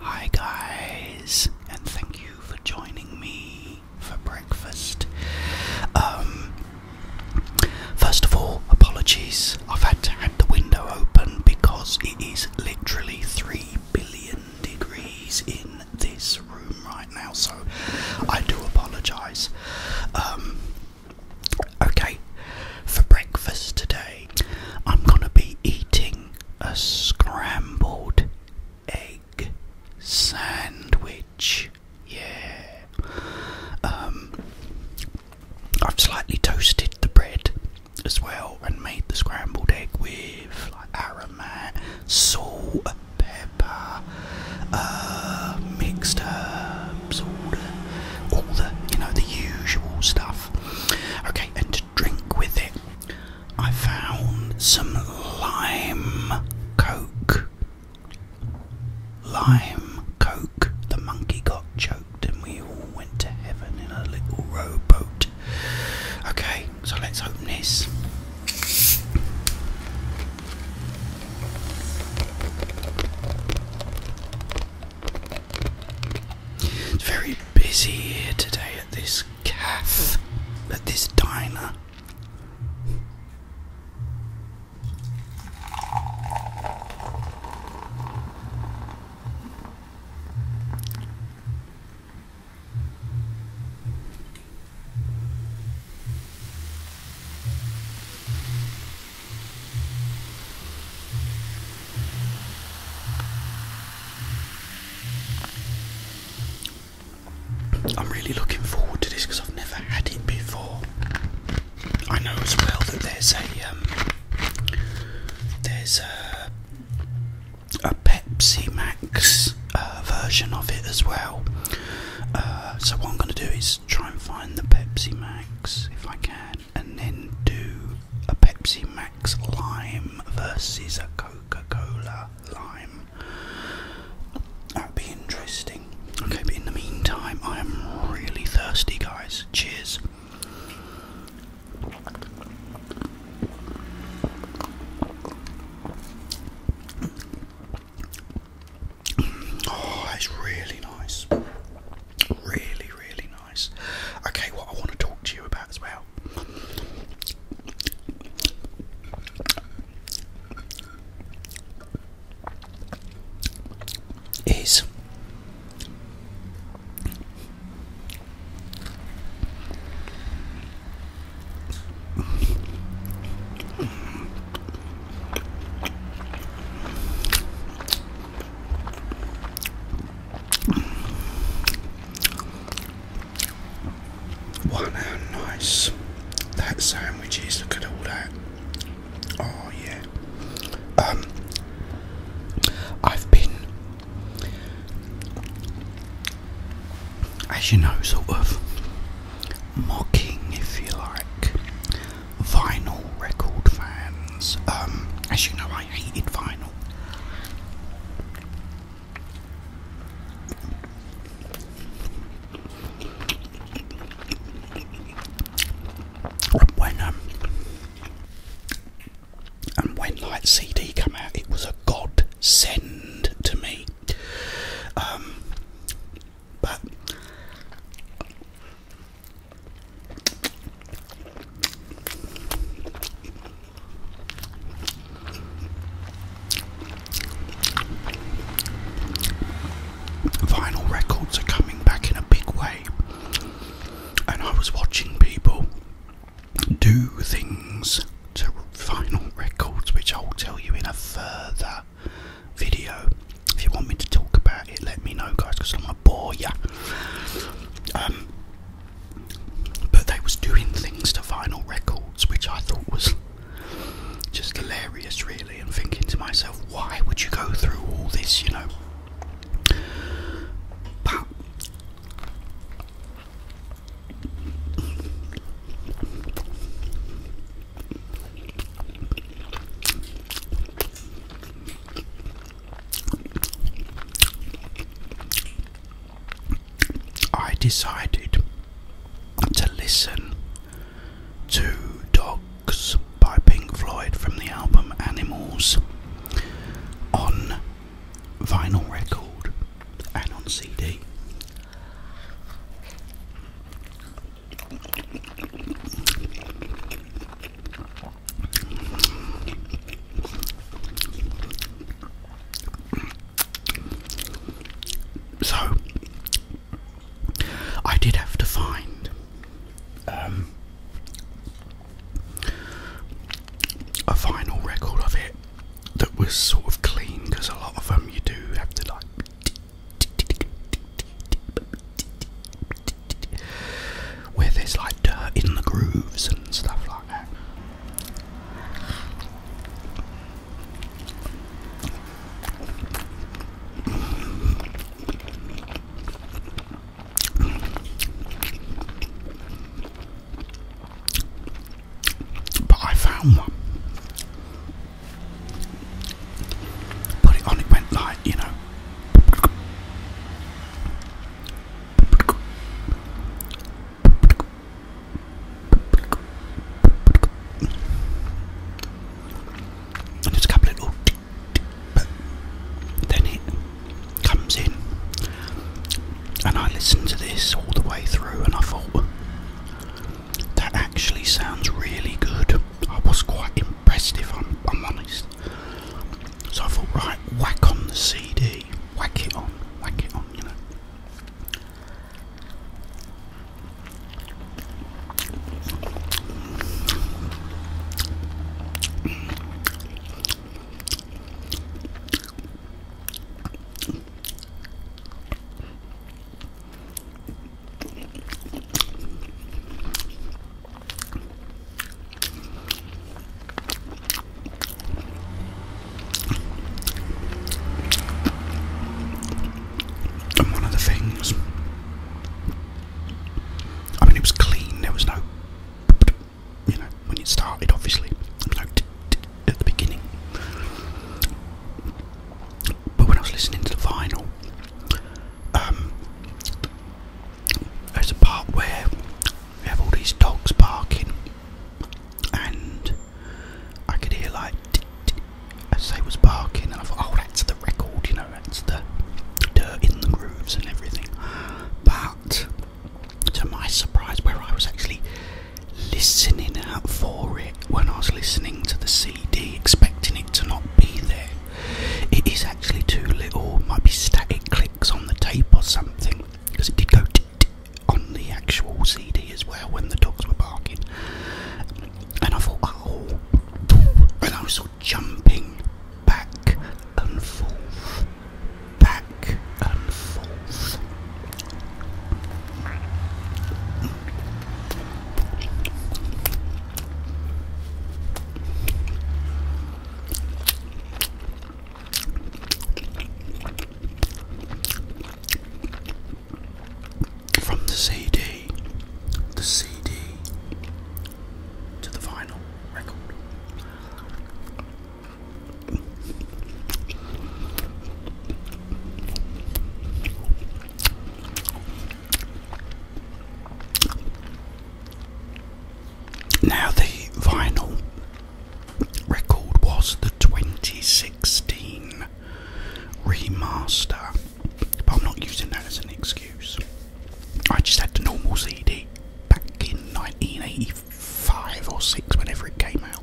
Hi, guys, and thank you for joining me for breakfast. Um, first of all, apologies. I've had to have the window open because it is literally 3 billion degrees in this room right now, so I do apologize. Um, okay, for breakfast today, I'm gonna be eating a scrambled egg sandwich. Yeah. Um, I've slightly toasted the bread as well and made the scrambled egg with like aromat, salt, pepper, uh, mixed herbs, all all the, you know, the usual stuff. Okay, and drink with it, I found some lime coke. Lime coke. The monkey got choked, and we all went to heaven in a little rowboat. Okay, so let's open this. It's very busy here today at this cafe, at this diner. I'm really looking forward to this because I've never had it before. I know as well that there's a um, there's a, a Pepsi Max uh, version of it as well. Uh, so what I'm going to do is try and find the Pepsi Max if I can and then do a Pepsi Max Lime versus a Coca Cola Lime. That'd be interesting. Okay, but in the meantime, I am really thirsty, guys. Cheers. Oh, that's really nice. Really, really Okay, what I want to talk to you about as well. Is Wow, nice that sandwich is. Look at all that. Oh, yeah. Um, I've been, as you know, sort of mocking, if you like, vinyl record fans. Um, as you know, I hated vinyl. When um, and when like CD came out, it was a godsend to me. Um, but Vinyl records are coming back in a big way, and I was watching people do things to vinyl records, which I'll tell you in a further video. If you want me to talk about it, let me know, guys, my boy. Yeah. Um, but they was doing things to vinyl records, which I thought was just hilarious, really. And thinking to myself, why would you go through all this, you know? But I decided to listen to Dogs by Pink Floyd from the album Animals on vinyl record and on CD. So, I did have to find um, a final record of it that was sort of clean because a lot of them you do have to like where there's like dirt in the grooves and stuff like that. But I found one. Put it on, it went like, you know. And there's a couple of little but then it comes in and I listened to this all the way through and I thought that actually sounds really good. I was quite impressed if I'm, I'm honest. So I thought, right, whack on the CD, whack it on, whack it on, you know. And one of the things, I mean, it was clean, there was no, you know, when it started, obviously, no at the beginning. But when I was listening to the vinyl, um, there's a part where we have all these dogs barking, and I could hear like as they was barking, and I thought, oh, that's the record, you know, that's the dirt in the grooves and everything. But to my surprise, where I was actually listening out for it when I was listening to the CD, expecting it to not be there. It is actually too little, might be static clicks on the tape or something, because it did go on the actual CD as well when the dogs were barking. And I thought, oh, and I was sort jumping back and forth, back and forth. From the CD, the CD to the vinyl record. Now, the vinyl record was the 2016 remaster, but I'm not using that as an excuse. I just had the normal CD back in 1985 or 6, whenever it came out.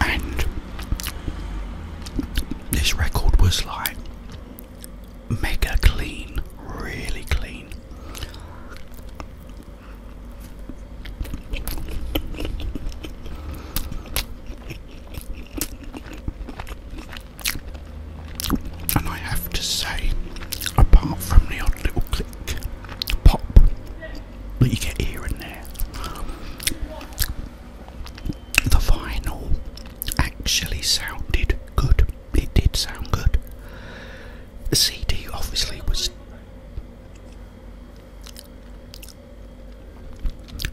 And this record was like mega clean, really clean. And I have to say, apart from the odd little click pop but you get here and there. The vinyl actually sounded good. It did sound good. The CD obviously was.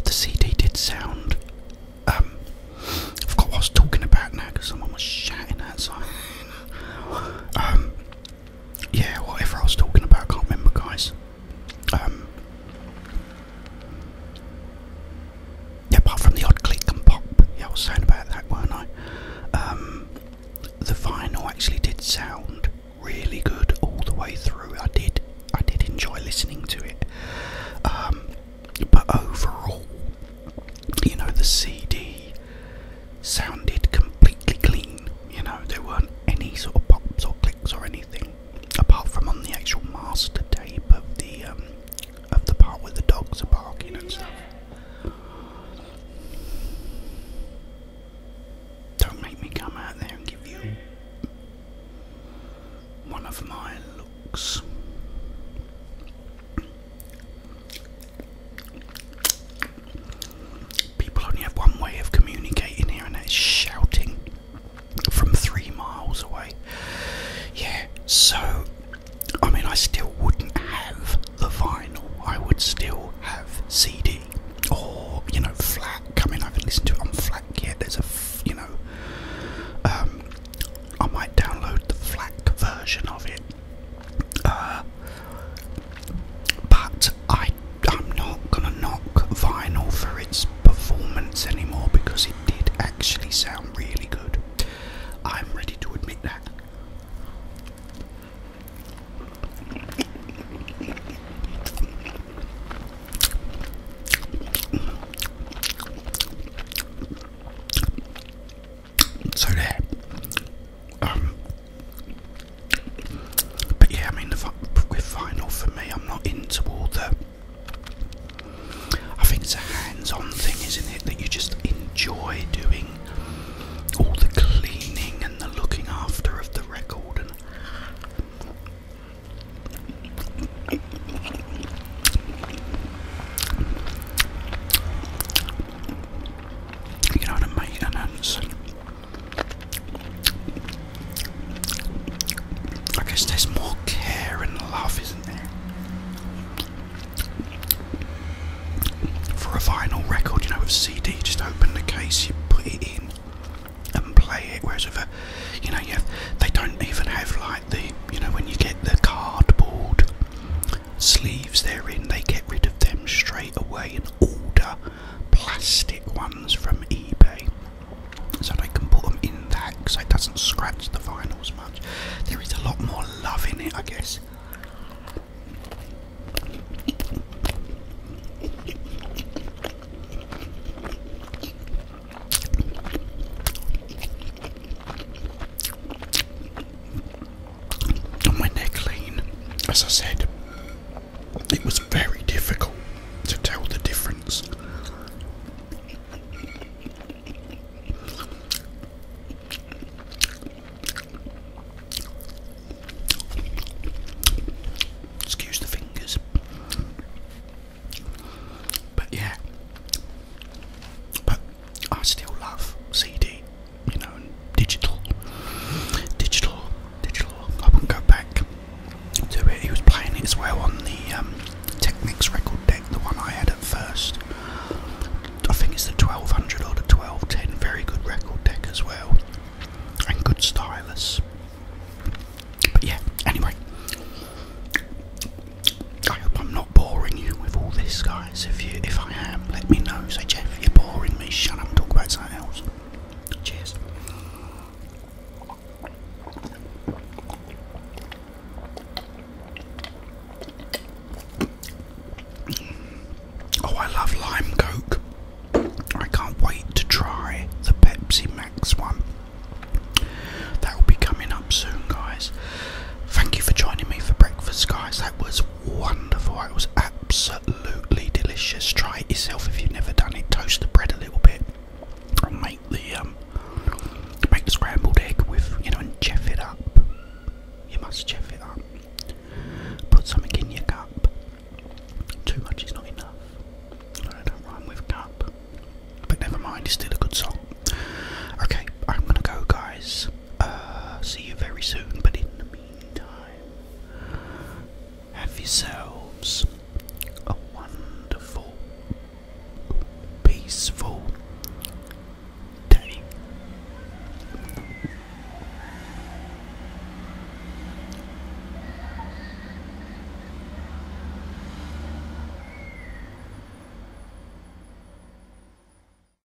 The CD did sound. Um, I forgot what I was talking about now because someone was shouting outside. Um, yeah, whatever I was talking about, I can't remember, guys. Um, apart from the odd click and pop, yeah, I was saying about that, weren't I? Um, the vinyl actually did sound really good all the way through. I did, I did enjoy listening to it. Um, but overall, you know, the CD sounded completely clean. You know, there weren't any sort of pops or clicks or anything, apart from on the actual master tape of the um, of the part where the dogs are barking and stuff. Don't make me come out there and give you one of my looks. People only have one way of communicating here, and that is shouting from three miles away. Yeah, so I mean, I still wouldn't have the vinyl, I would still have CD or you know, flat. Come in, I haven't listened to it on flat Yeah. There's a, you know, um, I might download the flat version of it uh, but I, I'm not gonna knock vinyl for its performance anymore because it did actually sound really good. I'm ready to admit that so there. Um, but yeah, I mean, the, with vinyl for me, I'm not into all the. I think it's a hands-on thing, isn't it? That you just enjoy doing all the cleaning and the looking after of the record you know, the maintenance. I guess there's more care and love, isn't there? For a vinyl record, you know, with CD, you just open the case, you put it in and play it. Whereas with a, you know, you have, they don't even have like the, you know, when you get the cardboard sleeves they're in, they get rid of them straight away and order plastic ones from eBay so I can put them in that because it doesn't scratch the vinyls much. There is a lot more love in it, I guess when they're clean, as I said, it was very difficult to tell the difference. Excuse the fingers. But yeah. But I still love CD you know, digital, digital, digital. I wouldn't go back to it. He was playing it as well on the um, Technics record deck, the one I had at first. I think it's the 1200 or the 1210. Very good record deck as well, and good stylus. But yeah, anyway, I hope I'm not boring you with all this. guy guys. If you, if I am, let me know. Say, Jeff, you're boring me. Shut up and talk about something else. Cheers. Oh, I love lime coke. I can't wait to try the Pepsi Max one. That will be coming up soon, guys. Thank you for joining me for breakfast, guys. That was wonderful. It was absolutely delicious. Try it yourself if you've never done it. Toast the bread a little bit, make the um, make the scrambled egg with you know, and chef it up. You must chef it up. Put something in your cup. Too much is not enough. I don't rhyme with cup, but never mind. It's still a good song. Okay, I'm gonna go, guys. Uh, see you very soon. But in the meantime, have yourselves a wonderful, peaceful day.